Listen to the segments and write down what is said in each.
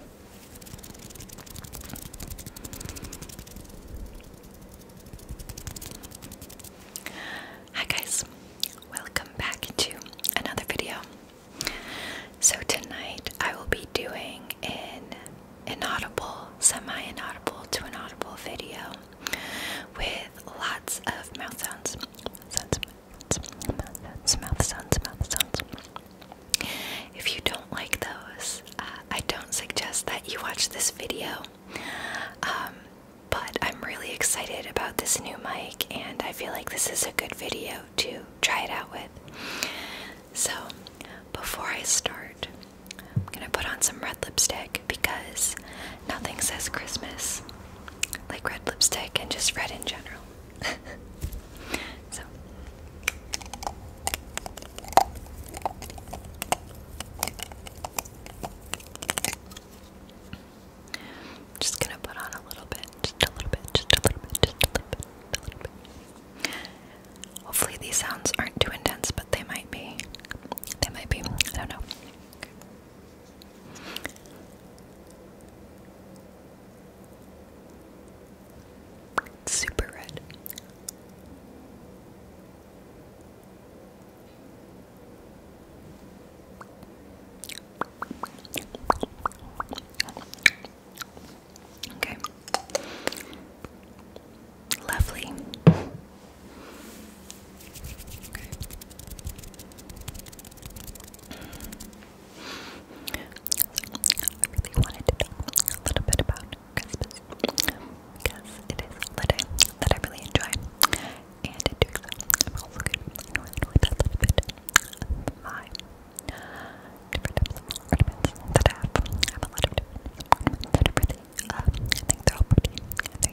Hi guys, welcome back to another video. So tonight I will be doing an inaudible, semi-inaudible to inaudible video with lots of mouth sounds. mouth sounds. If you don't like those, uh, I don't suggest that you watch this video. Um, but I'm really excited about this new mic, and I feel like this is a good video to try it out with. So, before I start, I'm gonna put on some red lipstick because nothing says Christmas like red lipstick and just red in general. just gonna put on a little bit, just a little bit, just a little bit, just a little bit, a little bit. Hopefully these sounds aren't too intense, but they might be. They might be. I don't know. Super red. Okay. Lovely. I really wanted to talk a little bit about Christmas because it is the day that I really enjoy. And in doing so, I'm also going my different types that I have. I have a lot of different ornaments that are really, uh, I think they're all pretty and they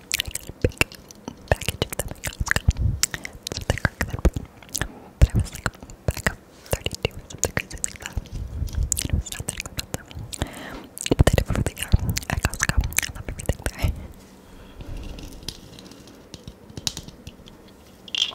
big package of them in Costco. Something crack that But I was like back up 32 or something crazy that. And it was about them. they did over the year at Costco. I love everything there. So,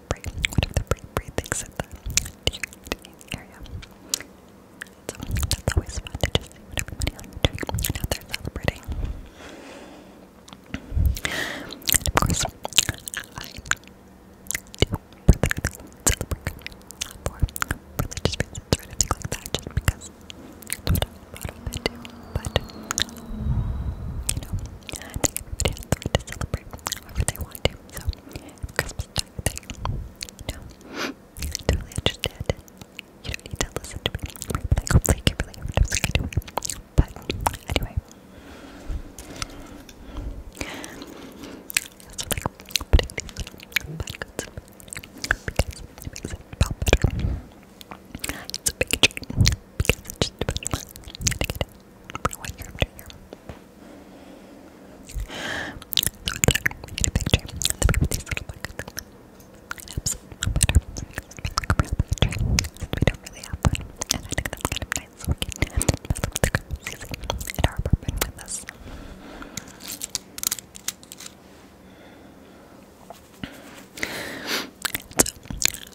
the brain, what if the brain breathes at the area? So that's always fun to just see what everybody else is doing and how they're celebrating. And of course, I do celebrate for religious reasons or anything like that, just because that's what I'm proud of I do. But, you know, I think everybody has the right to celebrate however they want so, Christmas time thing. You know, I totally understand You don't need to listen to me. Like, hopefully, you really hear what I'm saying But, anyway. So, like, putting It's a big treat it's just about to get a picture of the baby these little buckets. It helps smell better. It makes us look real picture. We don't really have one. And I think that's kind of nice. So we can mess with the girls easy in our apartment with us. So,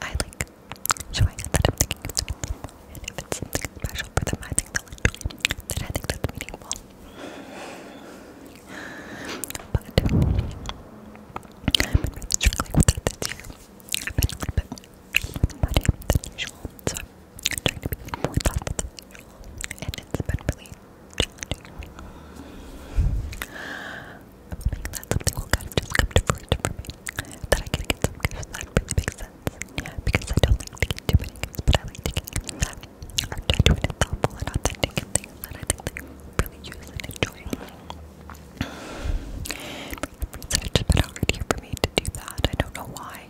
I like showing it that I'm thinking of something, and if it's something special for I think they'll enjoy it. think that's meaningful. But I've been struggling with that this year. I've been a little bit more money than so I'm trying to be more thoughtful than usual, and it's been really i that something will kind of just come to fruition for me. That I can get some that really makes sense. because I don't like to too many gifts, but I like to get that are genuine thoughtful and authentic things that I think really use and enjoy. It's just been hard here for me to do that. I don't know why.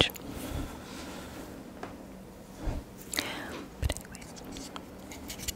Strange. But anyways,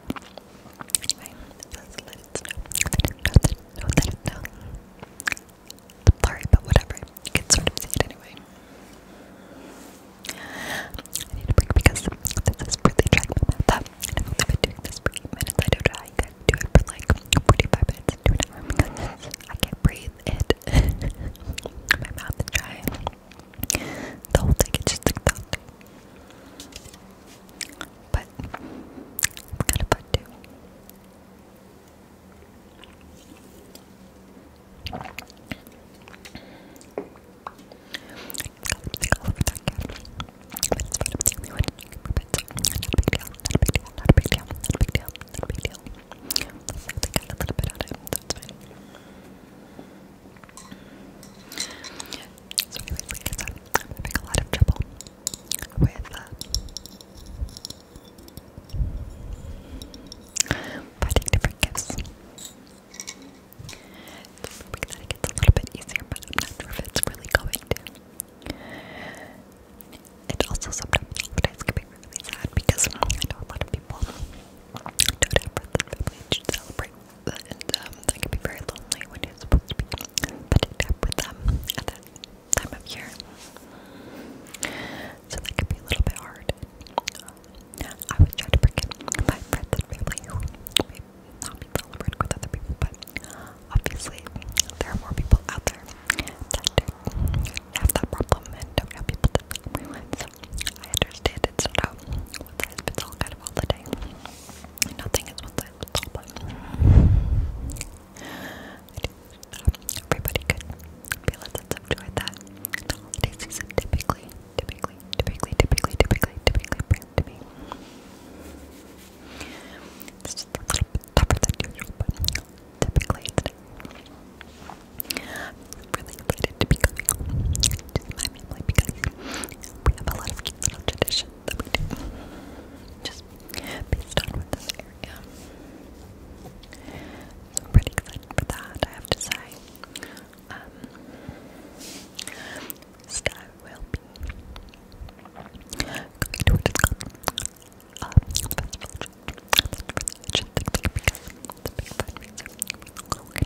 i sorry, but whatever. You can anyway. I need a break because this is really trying I've only been doing this for minutes. I don't do it for like 45 minutes to an hour because I can't breathe it. my mouth is dry. The whole thing is just TikTok. But it's kind of fun too. So, anyways, like uh, it a little bit easier, but I'm it's really going to. also, sometimes holidays can be really sad because I know a lot of people don't have friends and family to celebrate and um, that can be very lonely when you're supposed to be petting up with them at that time of year. So that can be a little bit hard. Um, I would try to bring in my friends and family who may not be celebrating with other people, but obviously there are more people out there that have that problem and don't have people to celebrate with. So I understand it's not one size all kind of holiday. Nothing is one size fits but everybody could feel a sense of that the typically, typically, typically, typically, typically, typically It's just a little bit tougher than usual, but typically really excited to be coming to my family because we have a lot of cute little traditions that we do. Just based on what this area. So I'm pretty excited for that, I have to say. Um, will be going to a discount um, festival a big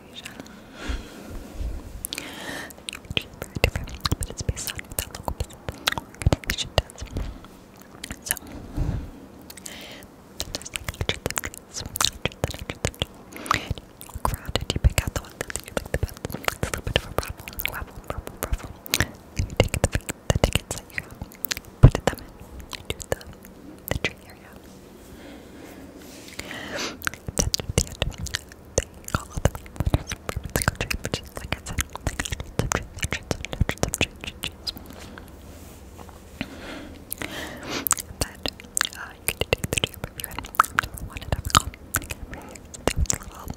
creation. Very different, but it's based on that local organization does. So, just like I did the dress, I did the dress. Crowded, you pick out the one that you like the best. It's a little bit of a raffle, raffle, raffle, raffle. You take the, the tickets that you have, put them in, do the, the tree your That's the end. call the winners the country, like I said, like hundreds of hundreds of hundreds But uh, you can take the tube you had number one and have a call. It's a so it's annoying,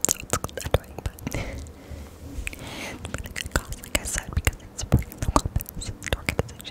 but like I said, because it's supporting the weapons, the organization.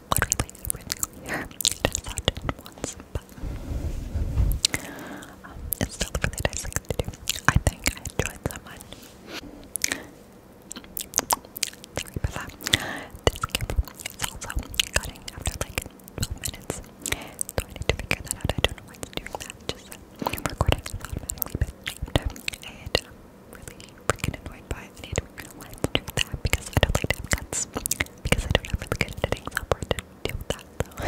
literally everything here. Just that once, but it's still really nice thing to do. I think I enjoyed so much. Sorry that. This camera is also cutting after like 12 minutes, so I need to figure that out. I don't know what's doing that. Just uh, recording is automatically, but it um, uh, really freaking annoyed by it. I need to realize that because I don't like to Because I don't have really good editing software to deal with that, though.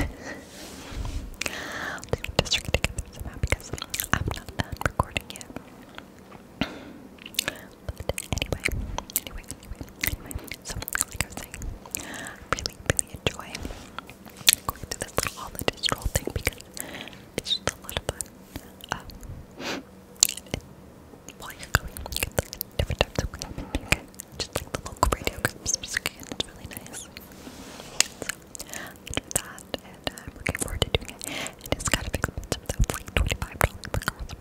just trying to get through somehow because I'm not done recording yet. anyway, anyway, anyway, So, like I was saying, really, really enjoy going through this little all thing because it's just a lot of while you just like the local radio it's really nice. So, do that, and I'm um, looking forward to doing it. And it's kind of expensive, though, it's like $25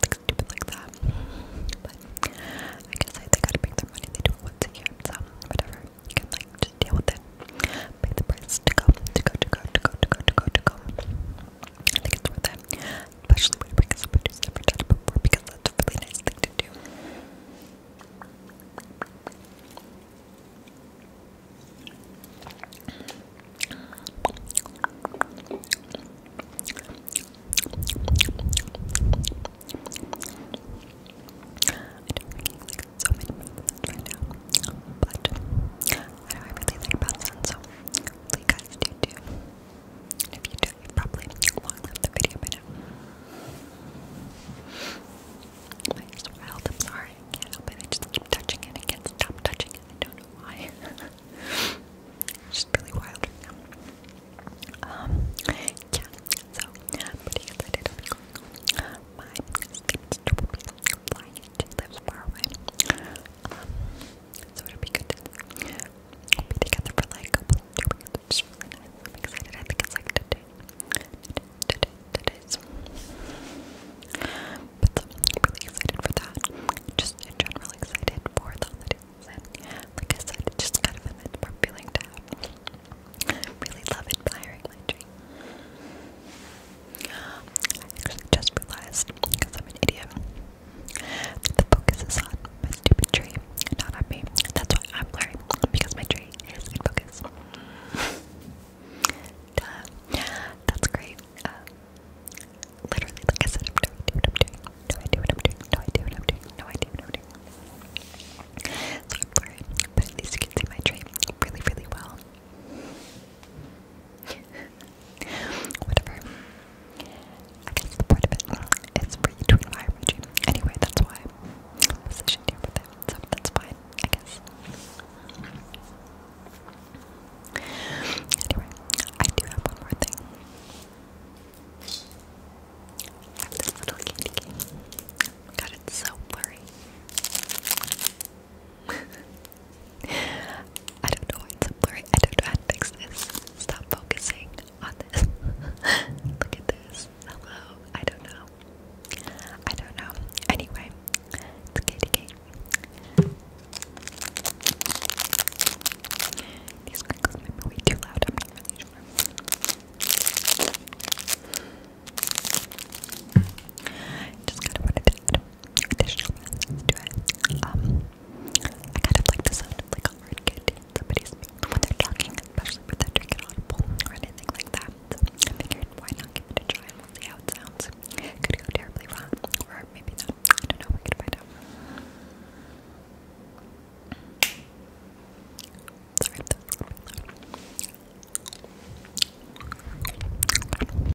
stupid like that. But I guess I, they gotta make their money, they do it once a year, so whatever. You can, like, just deal with it. Pay the price to go, to go, to go, to go, to go, to go, to go. I think it's worth it. Especially when I bring somebody who's never done it before because that's a really nice thing to do. I don't like so many right now, but I know I really like that sound, so hopefully you guys do too. And if you do, you probably long the video by now. My wild, I'm sorry, I can't help it. I just keep touching it, I can't stop touching it, I don't know why. it's just really wild Um, yeah, so I'm pretty excited to um, so it'll be good to be together for like a couple of two really I'm excited. I think it's like today. Today, today, But I'm really excited for that. Just in general, excited for the holidays. I am it's just kind of a nice feeling to have. I really love admiring my dream just realized, because I'm an idiot, the focus is on my stupid tree, not on me. That's why I'm blurry, because my tree is in focus. Duh. That's great. Uh, literally, like I said, I'm doing, do what I'm doing, do I doing, doing, doing. So I'm blurry, but at least you can see my tree really, really well. Whatever. I guess the point of it is for you to Anyway, that's why I'm positioned with him, so that's fine, I guess. Anyway, I do have one more thing. I have this little candy God, it's so blurry. I don't know why it's blurry. I don't know how to fix this. Stop focusing on this. Look at this. Hello. I don't know. I don't know. Anyway, it's Katie These crinkles might be way too loud. Just kind of wanted to add additional facets it. Um, I kind of like the sound of like a hard kid when they're talking, especially when they're drinking audible or anything like that. figured why not give it a try and see how it sounds. It could go terribly wrong, or maybe not. I don't know, we're find out. Sorry